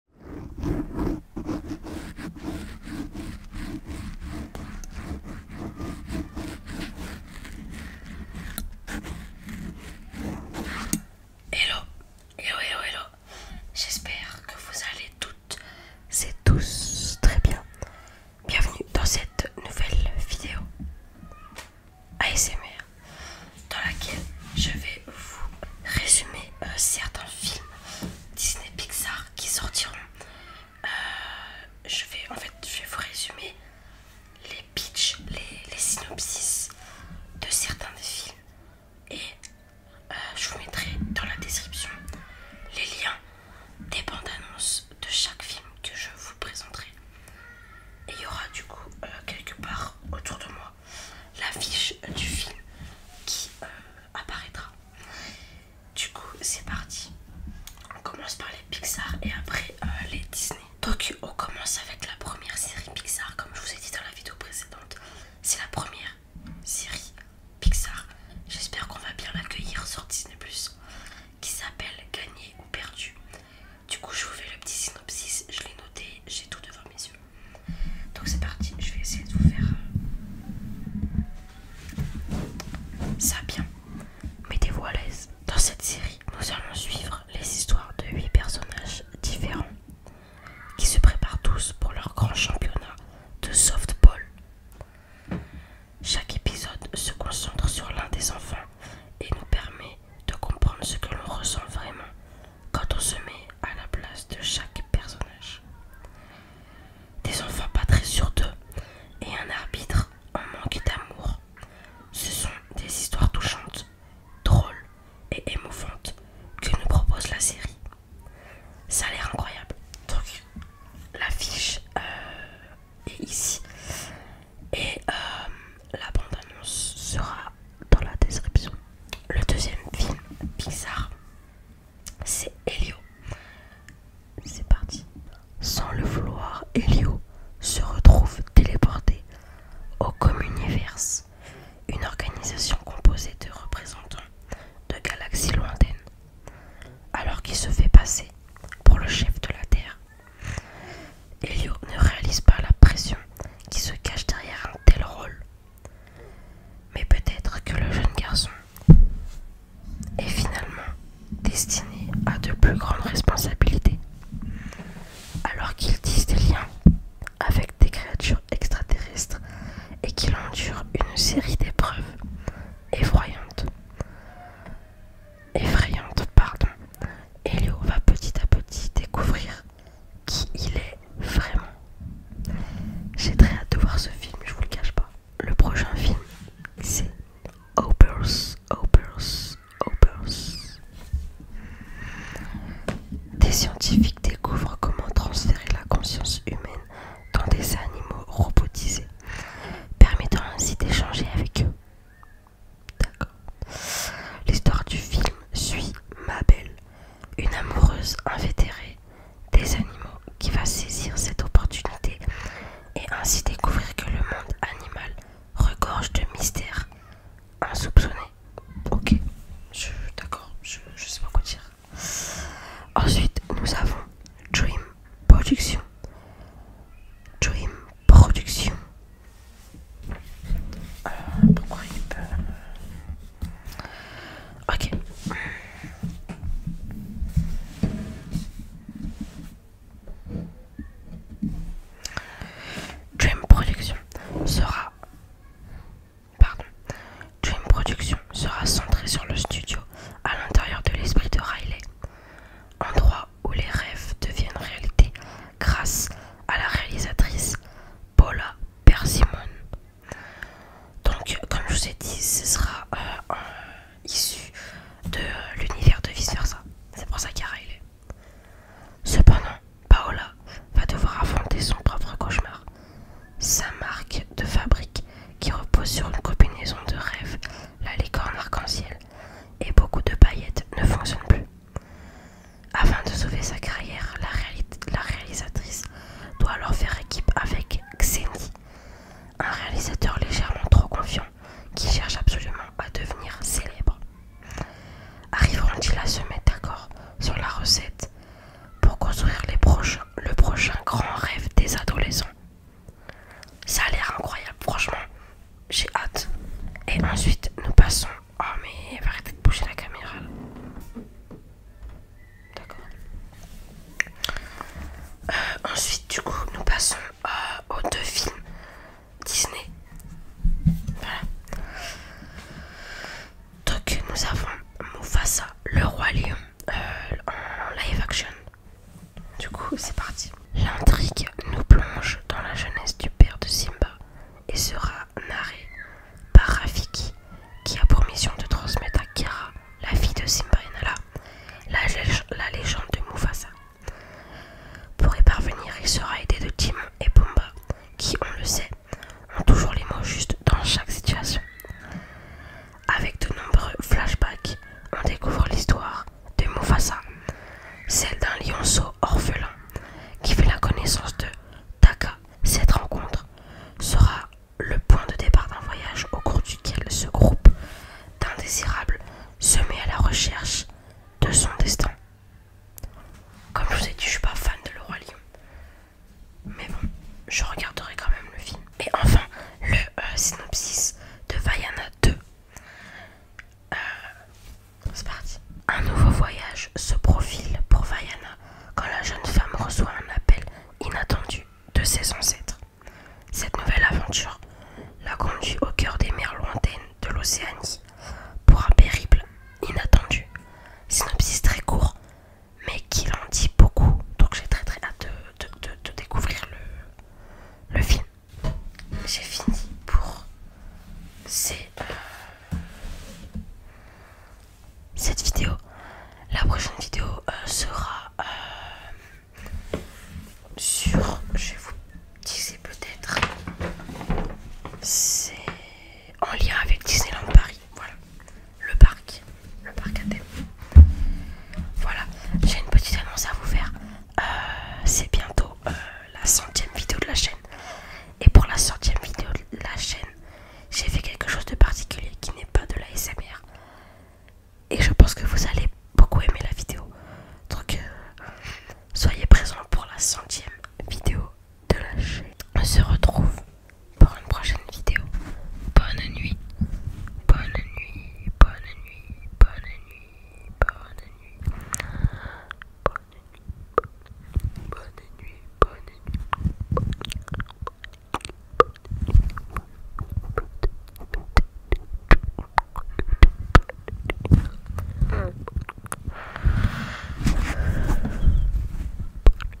Hello, hello, hello, hello. J'espère que vous allez toutes et tous très bien. Bienvenue dans cette nouvelle vidéo ASMR dans laquelle je vais vous résumer euh, certains films Disney Pixar qui sortiront. Euh, je vais en fait je vais vous résumer les pitchs, les, synopsis de certains des films et euh, je vous mettrai dans la description les liens des bandes annonces de chaque film que je vous présenterai. Et il y aura du coup quelque part autour de moi l'affiche du film qui euh, apparaîtra. Du coup, c'est parti. On commence par les Pixar et après euh, les Disney. Donc, on commence avec la première série Pixar, comme je vous ai dit dans la vidéo précédente. C'est la première série Pixar. J'espère qu'on va bien l'accueillir sur Disney, qui s'appelle Gagné ou Perdu. Du coup, je vous fais le petit synopsis. Je l'ai noté, j'ai tout devant mes yeux. Donc, c'est parti. Je vais essayer de vous faire euh, ça bien. Mettez-vous à l'aise. Dans cette série, nous allons suivre les histoires de 8 personnages différents qui se préparent tous pour leur grand championnat de softball. Chaque épisode se concentre sur l'un des enfants et nous permet de comprendre ce que l'on ressent vraiment quand on se met à la place de chaque personnage. Des enfants pas très sûrs d'eux et un arbitre en manque d'amour. Ce sont des histoires touchantes, drôles et émouvantes que nous propose la série. Ça a l'air incroyable. Donc l'affiche euh, est ici et euh, la bande annonce sera dans la description. Le deuxième film bizarre, c'est Helio. C'est parti. Sans le vouloir, Helio se retrouve téléporté au Communiverse, une organisation composée de représentants de galaxies lointaines. Alors qu'il se fait passer pour le chef de la Terre, Elio ne réalise pas la pression qui se cache derrière un tel rôle. Mais peut-être que le jeune garçon est finalement destiné à de plus grandes responsabilités, alors qu'il tisse des liens avec des créatures extraterrestres et qu'il endure une série d'épreuves effroyantes, effrayantes, pardon, et Léo va petit à petit découvrir qui il est vraiment. J'ai très hâte de voir ce film, je vous le cache pas. Le prochain film, c'est Opers, Opers, Opers. Des scientifiques découvrent comment transférer la conscience humaine dans des animaux robotisés, permettant ainsi d'échanger avec eux. D'accord. L'histoire du film suit Mabel, une amoureuse invétérée des animaux qui va saisir cette opportunité et ainsi découvrir que le monde animal regorge de mystères insoupçonnés. Ok, je, d'accord, je, je sais pas quoi dire. Ensuite, nous avons Dream Production. Dream production. Euh, euh, ok. Dream Production sera... Pardon. Dream Production sera centrée sur le studio à l'intérieur de l'esprit de Riley. Endroit où les rêves deviennent réalité grâce à la réalisatrice Paula Persimone. Donc, comme je vous ai dit, ce sera euh, issu de l'univers de vice versa. C'est pour ça qu'il y a Riley. Cependant, Paola va devoir affronter son propre cauchemar. Sa marque de fabrique, qui repose sur une combinaison de rêves la licorne arc-en-ciel, et beaucoup de paillettes ne fonctionnent plus. Afin de sauver sa carrière, la, réalisatrice doit alors faire équipe avec Xeni, un réalisateur légèrement trop confiant qui cherche absolument à devenir célèbre. Arriveront-ils à se mettre d'accord sur la recette pour construire le prochain grand rêve des adolescents ça a l'air incroyable, franchement. J'ai hâte. Et ensuite, nous passons. Oh, mais arrêtez de bouger la caméra. D'accord. Euh, ensuite, du coup, nous passons euh, aux deux films Disney. Voilà. Donc, nous avons Mufasa, le roi lion, euh, en live action. Du coup, c'est parti. L'intrigue nous plonge dans la jeunesse du père de Simba et sera narrée par Rafiki qui a pour mission de transmettre à Kira, la fille de Simba et Nala, la, légende de Mufasa. Pour y parvenir, il sera aidé de Timon et Pumba qui, on le sait, ont toujours les mots justes dans chaque situation. Avec de nombreux flashbacks, on découvre l'histoire de Mufasa, celle d'un lionceau orphelin qui fait la connaissance de Taka. Cette rencontre sera le point de départ d'un voyage au cours duquel ce groupe d'indésirables se met à la recherche de son destin. Comme je vous ai dit, je suis pas fan de Le Roi Lion. Mais bon, je regarderai quand même le film. Et enfin, le euh, synopsis de Vayana 2. Euh, c'est parti. Un nouveau voyage se profile pour Vaiana quand la jeune femme reçoit un appel inattendu de ses ancêtres. Cette nouvelle aventure la conduit au cœur des mers lointaines de l'Océanie pour un périple inattendu. Synopsis très court, mais qui l'ont dit beaucoup. Donc j'ai très très hâte de, découvrir le, film. J'ai fini pour euh, cette vidéo. La prochaine vidéo euh, sera euh, sur, je vais vous dire peut-être, c'est en lien avec Disneyland Paris. Voilà, le parc, le parc à thème. Voilà, j'ai une petite annonce à vous faire. Euh, c'est bientôt euh, la centième vidéo de la chaîne. Et pour la centième vidéo de la chaîne, j'ai fait quelque chose de particulier qui n'est pas de la SMR. Et je pense que vous allez beaucoup aimer la vidéo. Donc, euh, soyez présents pour la centième vidéo de lâcher. On se retrouve pour une prochaine vidéo. Bonne nuit. Bonne nuit. Bonne nuit. Bonne nuit. Bonne nuit. Bonne nuit. Bonne nuit. Bonne nuit. Bonne nuit.